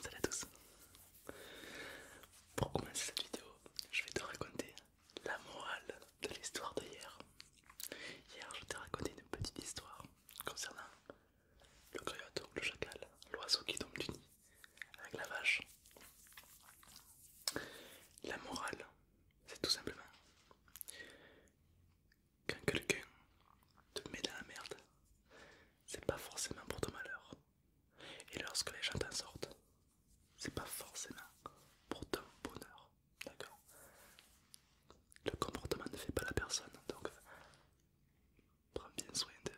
Salut à tous Pour commencer cette vidéo, je vais te raconter la morale de l'histoire d'hier hier. je t'ai raconté une petite histoire concernant le ou le chacal, l'oiseau qui tombe du nid, avec la vache. La morale, c'est tout simplement quand quelqu'un te met dans la merde, c'est pas forcément pour ton malheur. Et lorsque les gens t'en sortent, c'est pas forcément pour ton bonheur. D'accord Le comportement ne fait pas la personne, donc prends bien soin de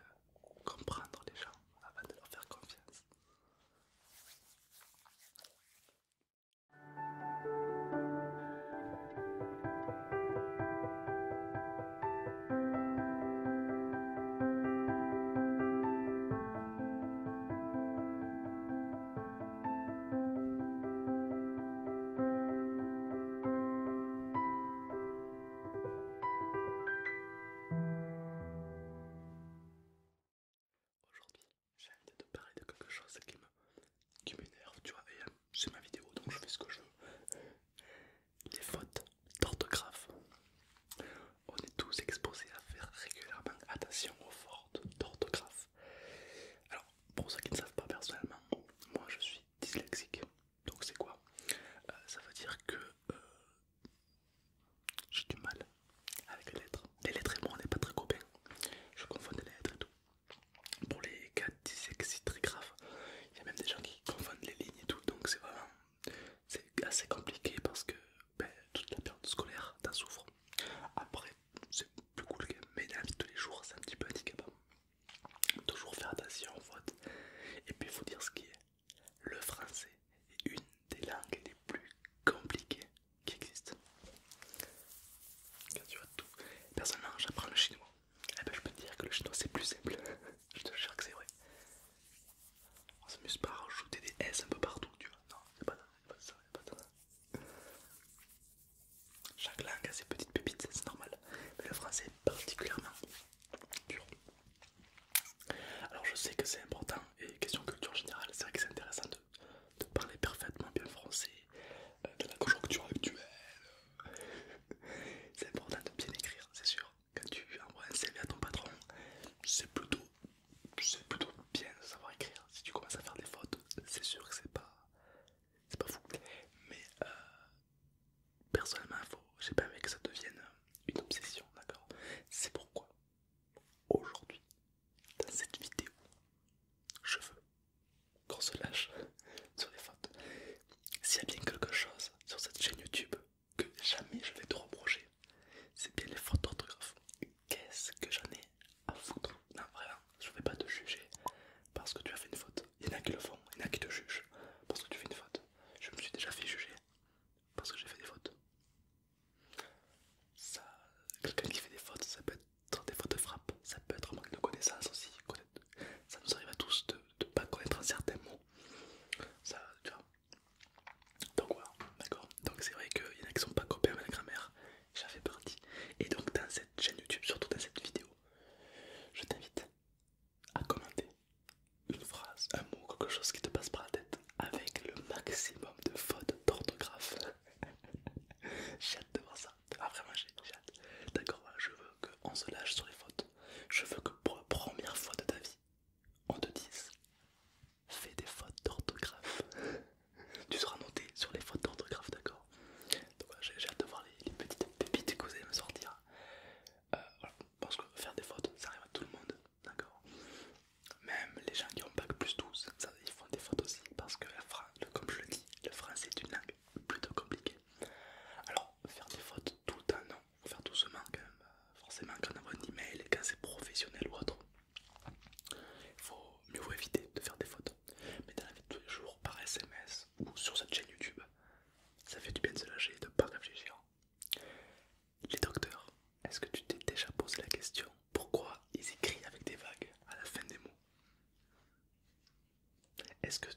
comprendre les gens avant de leur faire confiance. Aujourd'hui, j'ai envie de te parler de quelque chose qui me m'énerve, tu vois, et c'est euh, ma vidéo donc je fais ce que je veux. Les fautes d'orthographe. On est tous exposés à faire régulièrement attention aux fautes d'orthographe. Alors, pour ceux qui ne savent pas personnellement, moi je suis dyslexique. Donc c'est quoi euh, Ça veut dire que euh, j'ai du mal avec les lettres. Les lettres et moi on n'est pas très copains. Je confonds les lettres et tout pour les cas c'est très grave, Il y a même des gens qui confondent les lignes et tout, donc c'est vraiment assez compliqué parce que ben, toute la période scolaire t'en souffre. Après, c'est plus cool que mais la vie de tous les jours, c'est un petit peu handicapant. Toujours faire attention aux vote, et puis il faut dire ce qui est. Le français est une des langues les plus compliquées qui existe. Personnellement, j'apprends le chinois. et eh ben, je peux te dire que le chinois c'est plus simple. je te jure que c'est vrai. On s'amuse pas à rajouter des S un peu partout, tu vois. Non, c'est ça, Chaque langue a ses petites pépites, c'est normal. Mais le français est particulièrement dur. Alors je sais que c'est important et question culture générale, c'est vrai que c'est intéressant de, parler parfaitement bien français euh, de la conjoncture actuelle. c'est important de bien écrire, c'est sûr. Quand tu envoies un CV à ton patron, c'est plutôt, plutôt bien de savoir écrire. Si tu commences à faire des fautes, c'est sûr que c'est pas, c'est pas fou. Mais euh, personnellement, faut, j'ai pas aimé que ça devienne une obsession, d'accord C'est pourquoi Aujourd'hui, dans cette vidéo, je veux qu'on se lâche sur les fautes. S'il y a bien quelque chose sur cette chaîne YouTube que jamais je vais te reprocher, c'est bien les fautes d'orthographe. Qu'est-ce que j'en ai à foutre Non, vraiment, hein, je vais pas te juger parce que tu as fait une faute. Il y en a qui le font, il y en a qui te jugent parce que tu fais une faute. Je me suis déjà fait juger parce que j'ai fait des fautes quelqu'un qui fait des fautes ça peut être des fautes de frappe ça peut être manque de connaissance aussi ça nous arrive à tous de ne pas connaître un certain mot ça donc voilà d'accord donc c'est vrai qu'il y en a qui sont pas copains avec la grammaire ça fait partie et donc dans cette chaîne youtube surtout dans cette vidéo je t'invite à commenter une phrase, un mot, quelque chose qui te passe par la tête avec le maximum de fautes d'orthographe. j'ai hâte de voir ça. Ah, vraiment, j'ai hâte. D'accord, je veux qu'on se lâche sur les fautes. Je veux que pour la première fois de ta vie, on te dise fais des fautes d'orthographe. tu seras noté sur les fautes d'orthographe, d'accord Donc, j'ai hâte de voir les, petites pépites que vous me sortir. Euh, parce que faire des fautes, ça arrive à tout le monde d'accord Même les gens qui ont bac plus 12, ils font des fautes aussi parce que la comme je le dis, le français est une langue plutôt compliquée. Alors, faire des fautes tout le temps, non, faut faire doucement quand même. Bah, forcément, quand on envoie un email, quand c'est professionnel ou autre, il faut mieux éviter de faire des fautes. Mais dans la vie de tous les jours, par SMS ou sur cette chaîne YouTube, ça fait du bien de se lâcher et de ne pas réfléchir. Les docteurs, est-ce que tu t'es déjà posé la question pourquoi ils écrivent avec des vagues à la fin des mots Est-ce que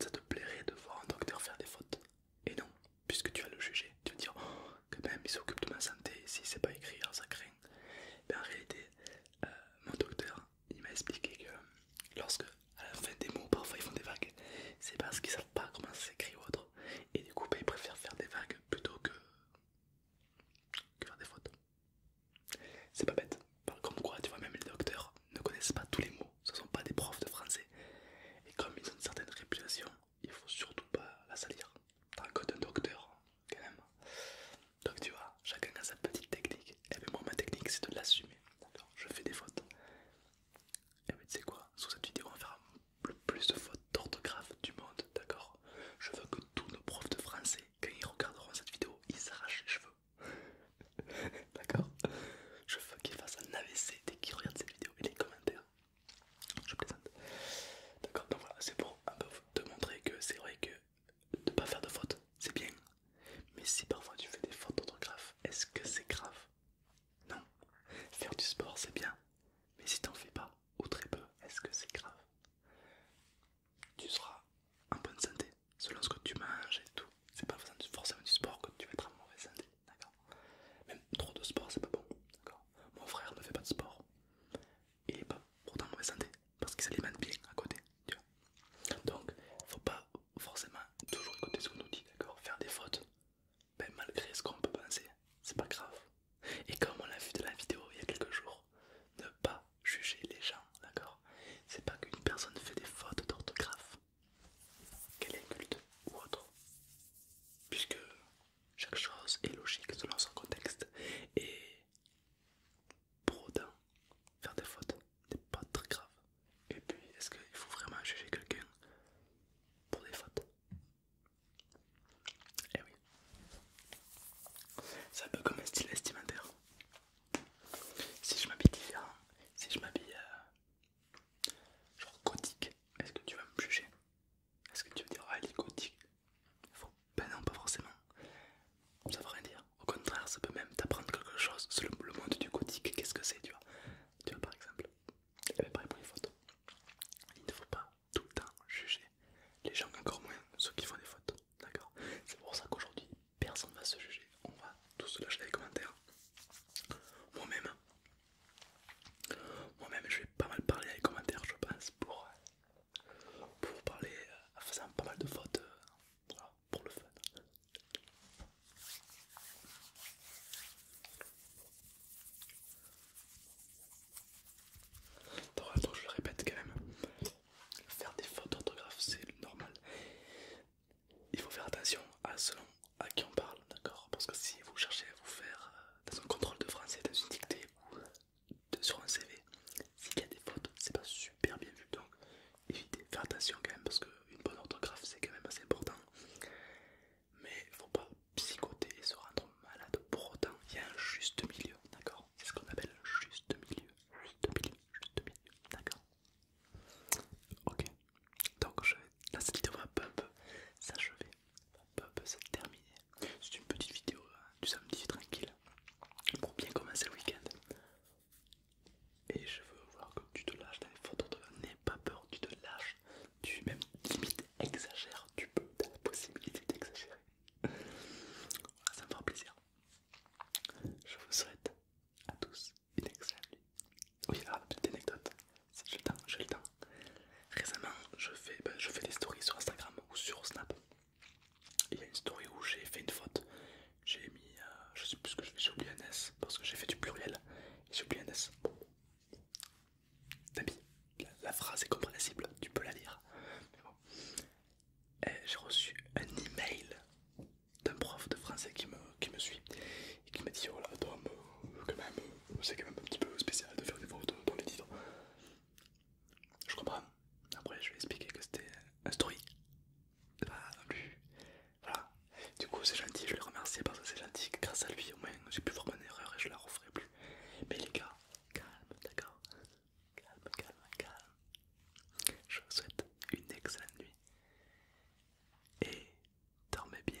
ça te plairait de voir un docteur faire des fautes Et non, puisque tu as le jugé, tu vas dire oh, que même il s'occupe de ma santé, si c'est pas écrit, alors ça craint. Ben, en réalité, euh, mon docteur il m'a expliqué que lorsque à la fin des mots, parfois ils font des vagues. C'est parce qu'ils savent pas comment s'écrire ou autre. Et du coup, ben, ils préfèrent faire des vagues plutôt que, que faire des fautes. C'est pas bête. Comme quoi, tu vois, même les docteurs ne connaissent pas tous les mots. Ce sont pas des profs de français. Et comme ils ont une certaine réputation, il faut surtout pas la salir. T'as un code docteur, quand même. Donc tu vois, chacun a sa petite technique. Et eh bien moi ma technique c'est de l'assumer. Je fais des fautes. Et eh, mais tu sais quoi, sous cette vidéo, on va faire le plus de fautes d'orthographe du monde, d'accord Je veux que tous nos profs de français, quand ils regarderont cette vidéo, ils s'arrachent les cheveux. d'accord Je veux qu'ils fassent un AVC dès qu'ils regardent cette vidéo et les commentaires. Je plaisante. D'accord, donc voilà, c'est pour un peu te montrer que c'est vrai que ne pas faire de fautes, c'est bien, mais si parfois tu fais des fautes d'orthographe, est-ce que c'est grave Non. Faire du sport, c'est bien. Mais si t'en fais pas, ou très peu, est-ce que c'est grave Tu seras en bonne santé, selon ce que tu manges et tout. C'est pas forcément du sport que tu vas être en mauvaise santé, d'accord Même trop de sport, c'est pas bon, d'accord Mon frère ne fait pas de sport. Il est pas pourtant en mauvaise santé, parce qu'il s'alimente bien à côté, tu vois. Donc, faut pas forcément toujours écouter ce qu'on nous dit, d'accord Faire des fautes, ben, malgré ce qu'on peut penser, c'est pas grave. Et comme on l'a vu dans la vidéo il y a quelques jours, ne pas juger les gens, d'accord C'est pas qu'une personne fait des fautes d'orthographe, qu'elle est culte ou autre, puisque chaque chose est logique selon son contexte et Prodin faire des fautes n'est pas très grave. Et puis, est-ce qu'il faut vraiment juger quelqu'un pour des fautes Eh oui. C'est un peu comme un style estimentaire. Si je m'habille différent, si je m'habille euh, genre gothique, est-ce que tu vas me juger Est-ce que tu vas dire, ah, gothique faut... Ben non, pas forcément. Ça veut rien dire. Au contraire, ça peut même t'apprendre quelque chose sur le, monde du gothique. Qu'est-ce que c'est, tu vois Tu vois, par exemple, pareil les photos. Il ne faut pas tout le temps juger les gens, encore moins ceux qui font des photos. D'accord C'est pour ça qu'aujourd'hui, personne ne va se juger. On va tous se lâcher les commentaires. Moi-même, moi-même, je vais pas mal parler dans les commentaires, je pense, pour pour parler en euh, faisant pas mal de fautes euh, pour le fun. Donc, je le répète quand même, faire des fautes d'orthographe c'est normal. Il faut faire attention à selon à qui on parle, d'accord Parce que si vous cherchez à vous faire euh, dans un contrôle de français, dans une dictée ou sur un CV, s'il y a des fautes, c'est pas super bien vu. Donc évitez, faire attention quand même parce une bonne orthographe c'est quand même assez important. Mais faut pas psychoter et se rendre malade pour autant. Il y a un juste milieu, d'accord C'est ce qu'on appelle juste milieu. Juste milieu, juste milieu, d'accord Ok. Donc je vais... cette vidéo va un peu, peu s'achever c'est terminé. C'est une petite vidéo du samedi tranquille pour bien commencer le week-end. Et je veux voir que tu te lâches dans les photos de N'aie pas peur, tu te lâches, tu même limite exagères, tu peux, t'as la possibilité d'exagérer. voilà, ça me fera plaisir. Je vous souhaite à tous une excellente nuit. Oui, la ah, petite anecdote, j'ai le Récemment, je fais, ben, je fais des stories sur Instagram ou sur Snap. Il y a une story où j'ai fait une faute. J'ai mis, euh, je sais plus ce que je fais, j'ai oublié un S parce que j'ai fait du pluriel et j'ai oublié un S. la, phrase est compréhensible, tu peux la lire. J'ai reçu un email d'un prof de français qui me, qui me suit et qui m'a dit oh même, c'est quand même un petit peu spécial de faire des photos dans les titres. Je comprends. Après, je vais expliquer que c'était un story. Voilà. Du coup, c'est gentil, je vais le remercier parce que c'est gentil. Grâce à lui, au moins, j'ai pu faire mon erreur et je la referai plus. Mais les gars, calme, d'accord Calme, calme, calme. Je vous souhaite une excellente nuit. Et dormez bien.